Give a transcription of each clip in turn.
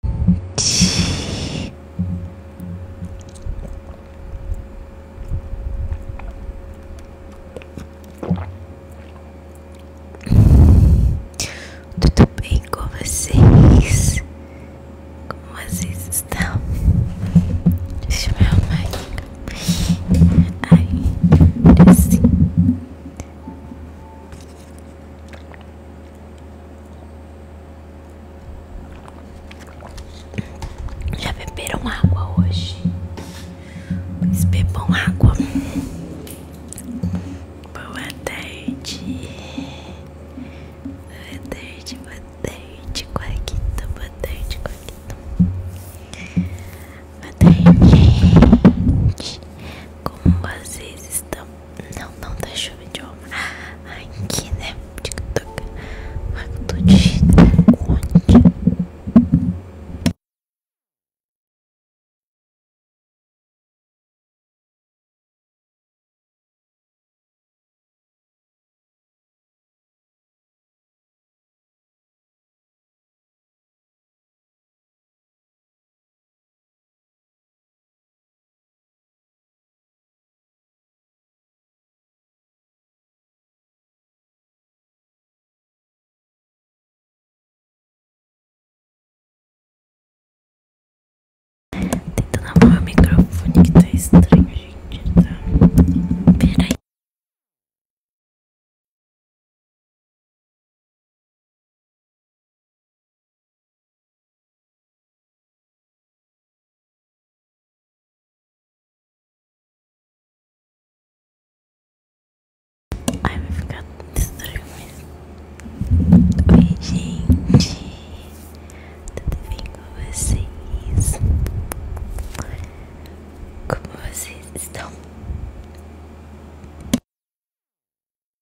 Tudo bem com vocês? Como vocês estão? Deixa eu me arrumar aqui. assim. Já beberam água hoje? bebam água. Boa tarde. Boa tarde, boa tarde, Coaquito. Boa tarde, Coaquito. Boa tarde, Como vocês estão? Não, não da tá chuva de Aqui, né? TikTok. Ai, tô digitando um Tentando arrumar o microfone que tá estranho, gente, Peraí. Ai, me ficar estranho, mas. Oi, gente! Tudo bem com vocês? Como vocês estão?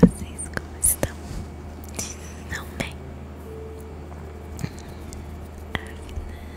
Vocês como estão? Não bem? A vida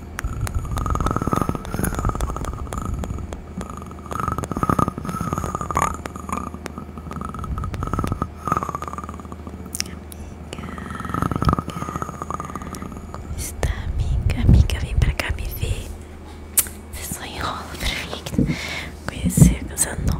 amiga, amiga, Como está, amiga? Amiga, vem para cá me ver. Você só enrola pra mim. Conhecer coisa nova.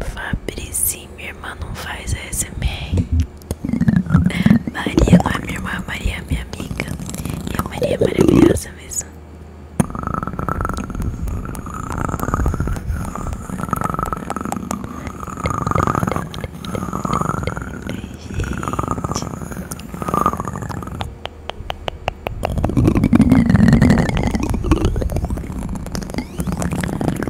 Fabrici, minha irmã não faz ASMR. Maria não é minha irmã, Maria é minha amiga. E a Maria é maravilhosa mesmo. Gente.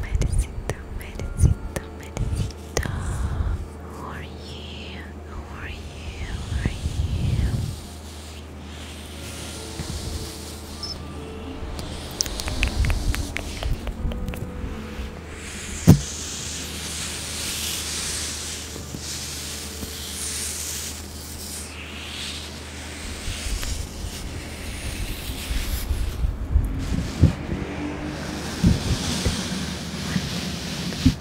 Merecito, merecito, merecito. Who are you? How are you? How are you?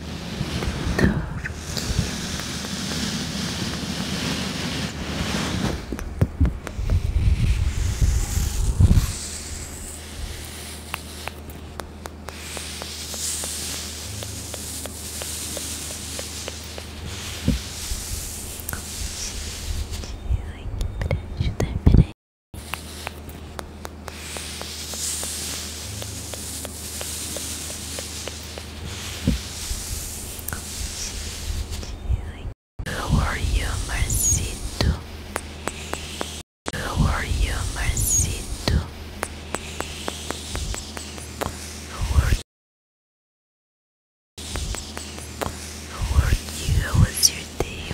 Ai, que né? peraí, peraí. How are you, Marcito? How are you, Marcito? How are are you? How your day,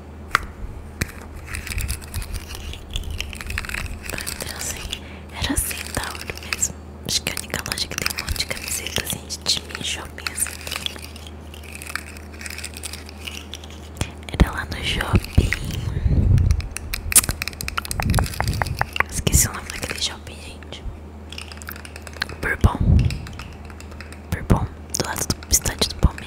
era então, assim, era assim Tauro mesmo Acho que a única loja que tem um monte de camiseta assim de shopping assim. Era lá no shopping Esqueci o nome daquele shopping, gente Bourbon bom do lado do estádio do Palmeiras.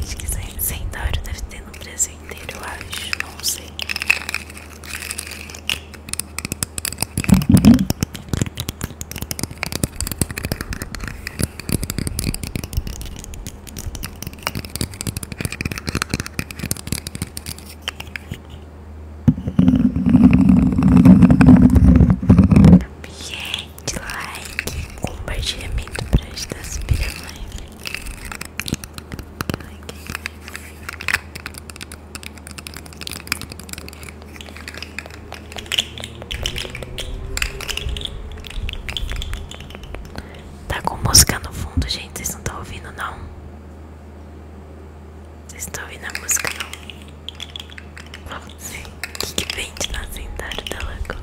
Acho que sem, sem deve ter no presente inteiro, eu acho, não sei. Gente, like, compartilhamento para ajudar a subir a live. Like. Tá com música no fundo, gente. Vocês não estão ouvindo, não? Vocês estão ouvindo a música, não? Sim. O que vende na cidade da Lagoa?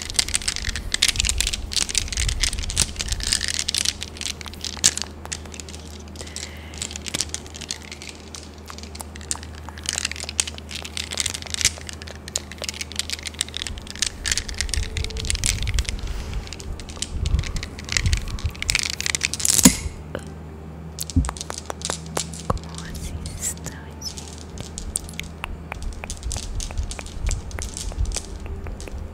Como vocês estão, gente?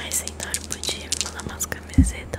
Ai, senhor, podia me mais camiseta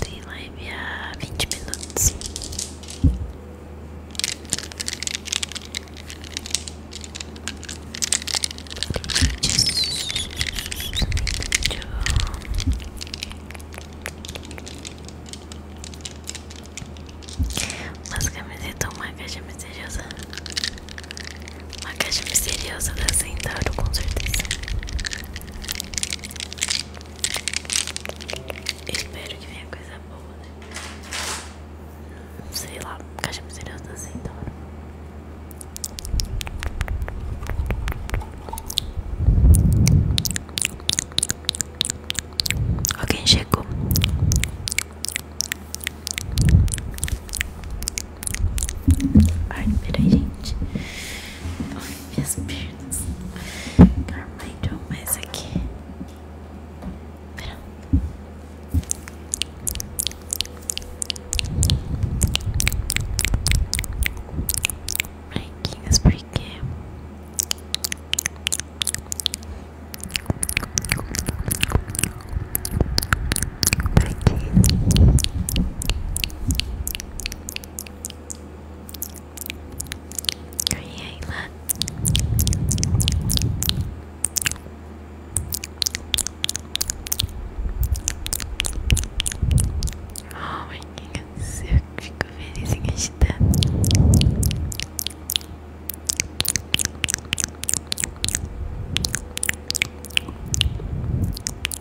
Tem live há 20 minutos. Umas camisetas, uma caixa misteriosa. Uma caixa misteriosa da Centauro, com certeza espero que venha coisa boa, né? Sei lá, caixa misteriosa da assim, Centauro. Alguém chegou. Ai, peraí, gente minhas pernas. Carmento mais aqui. Pronto. Branquinhas porque porque Oi, Ayla. Oh, meu Deus, eu fico feliz em agitar.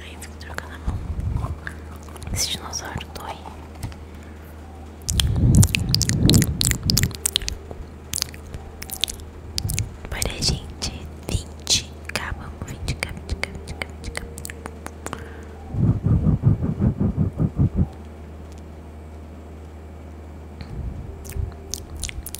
Aí fico trocando a mão. Esse dinossauro dói. Olha, gente. 20k. Vamos, 20k, 20k, 20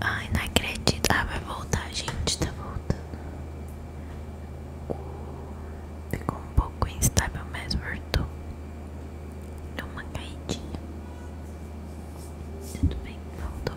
Ai, não acredito. Ah, vai voltar, gente. Tá voltando. ficou um pouco instável, mas voltou. Deu uma caidinha. Tudo bem, voltou.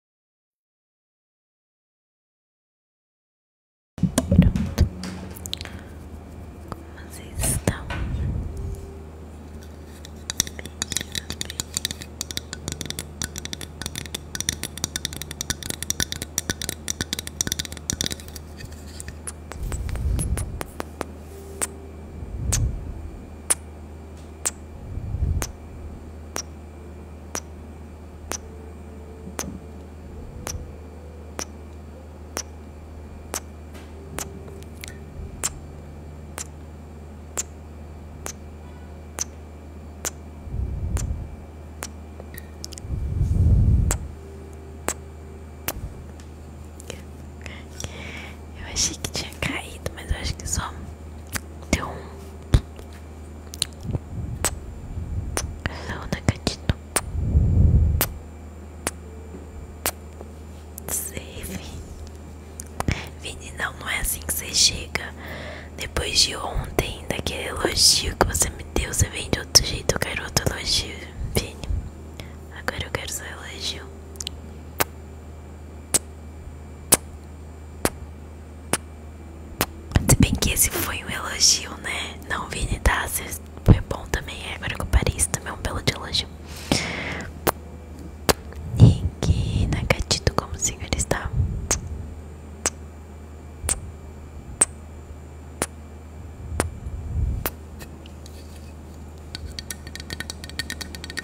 Pronto. Como vocês estão? Eu achei que tinha caído, mas acho que só deu um Sauna gatito Save Vini, não, não é assim que você chega Depois de ontem, daquele elogio que você me deu Você vem de outro jeito, eu quero outro elogio Vini, agora eu quero seu elogio se bem que esse foi um elogio, né? Não, Vini, tá? Foi bom também. É, agora com Paris também é um belo elogio. E que na como o senhor está?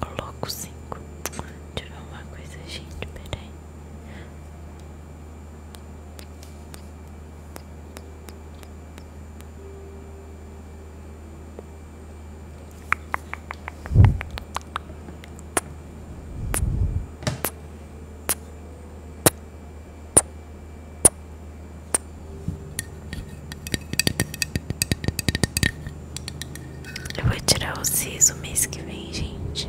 Coloco cinco Deixa uma coisa, gente. Peraí. Eu vou tirar o siso mês que vem, gente.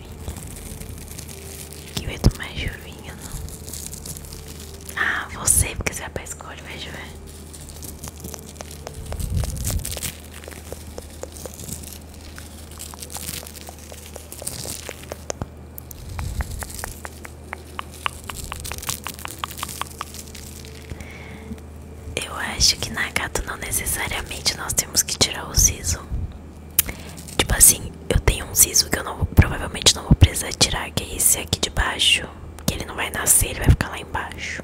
chuvinha. Que vai mais jovinha não? Ah, você, porque você é pra escola, vai chover. Eu acho que na gata não necessariamente nós temos que tirar o siso. Tipo assim, eu tenho um siso que eu não, provavelmente não vou precisar tirar, que é esse aqui de baixo. Que ele não vai nascer, ele vai ficar lá embaixo.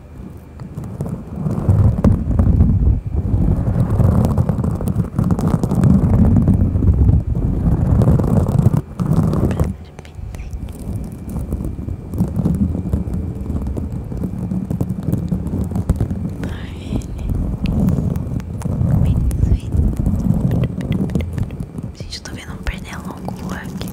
Gente, eu tô vendo um pernilongo voar aqui.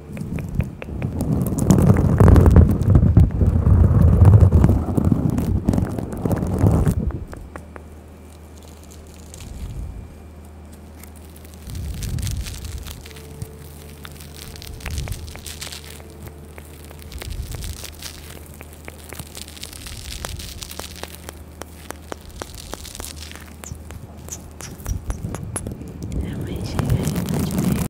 É mais chegar tá de